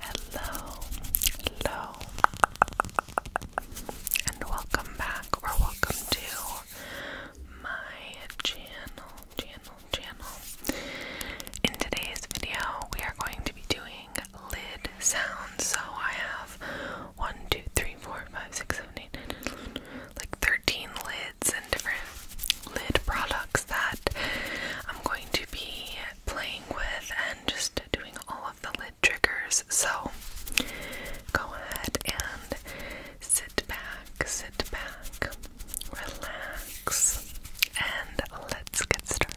Hello, hello, and welcome back or welcome to my channel, channel, channel. In today's video, we are going to be doing lid sounds. So I have one, two, three, four, five, six, seven, eight, nine, 11, like 13 lids different lid products that I'm going to be playing with and just doing all of the lid triggers. So go ahead and sit back, sit back, relax, and let's get started.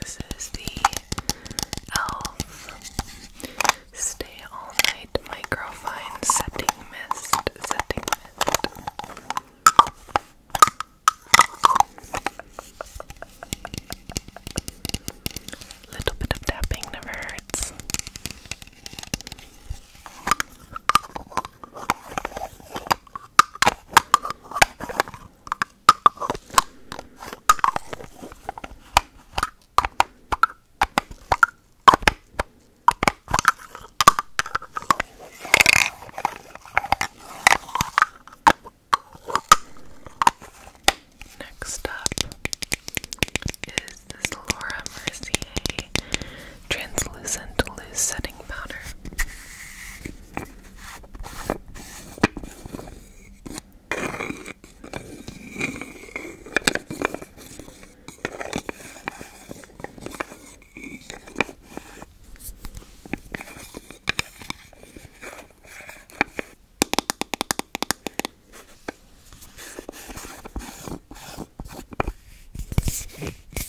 This is the e.l.f. Stay All Night Microfine Setting Mist. Setting Mist. Little bit of tapping never hurts. Next up is this Laura Mercier translucent loose setting powder.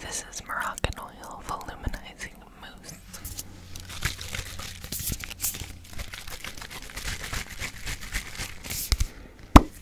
This is Moroccan oil volumizing mousse.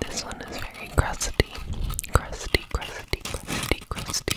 This one is very crusty, crusty, crusty, crusty, crusty.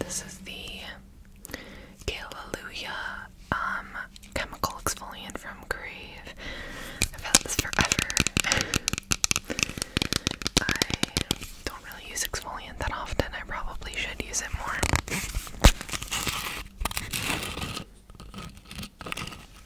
This is the Galleluia um, chemical exfoliant from Crave. I've had this forever. I don't really use exfoliant that often. I probably should use it more.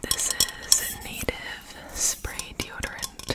This is native spray deodorant.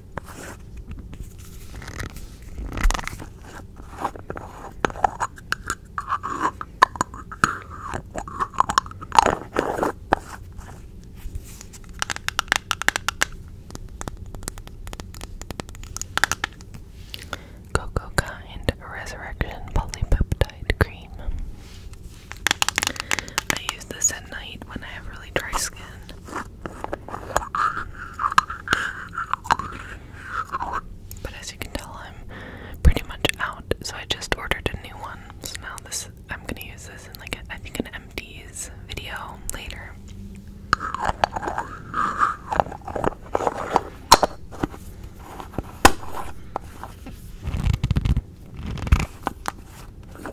Cocoa Kind Resurrection Polypeptide Cream. I use this at night when I have really dry skin. But as you can tell, I'm pretty much out, so I just ordered a new one. So now this I'm gonna use this in like a, I think an empties video later.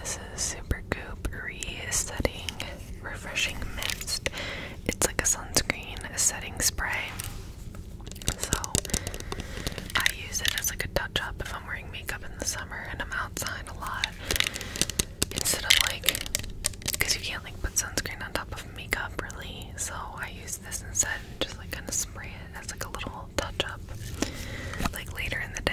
This is Super Goop Resetting Refreshing Mist. It's like a sunscreen setting spray. So I use it as like a touch up if I'm wearing makeup in the summer and I'm outside a lot. Instead of like, because you can't like put sunscreen on top of makeup really. So I use this instead and just like kind of spray it as like a little touch up like later in the day.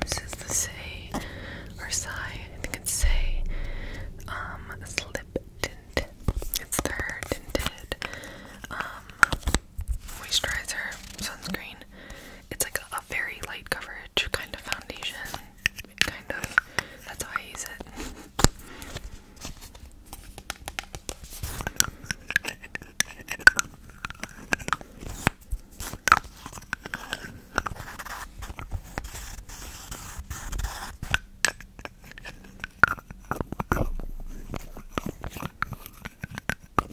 This is the say or sigh. I think say. Um, slip tint. It's their tinted um moisturizer, sunscreen. It's like a, very light coverage kind of foundation. Kind of. That's how I use it.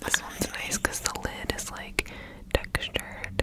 This one's nice because the lid is like textured.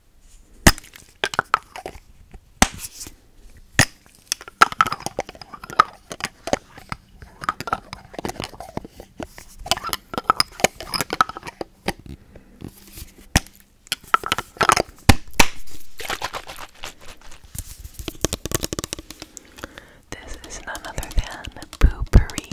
This is none other than Poopery.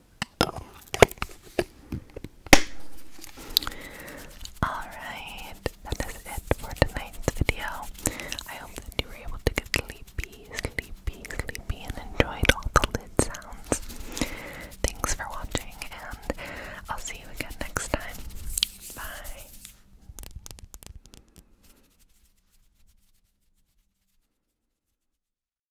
Alright, that is it for tonight's video. I hope that you were able to get sleepy, sleepy, sleepy, and enjoyed all the lid sounds. Thanks for watching, and I'll see you again next time. Bye.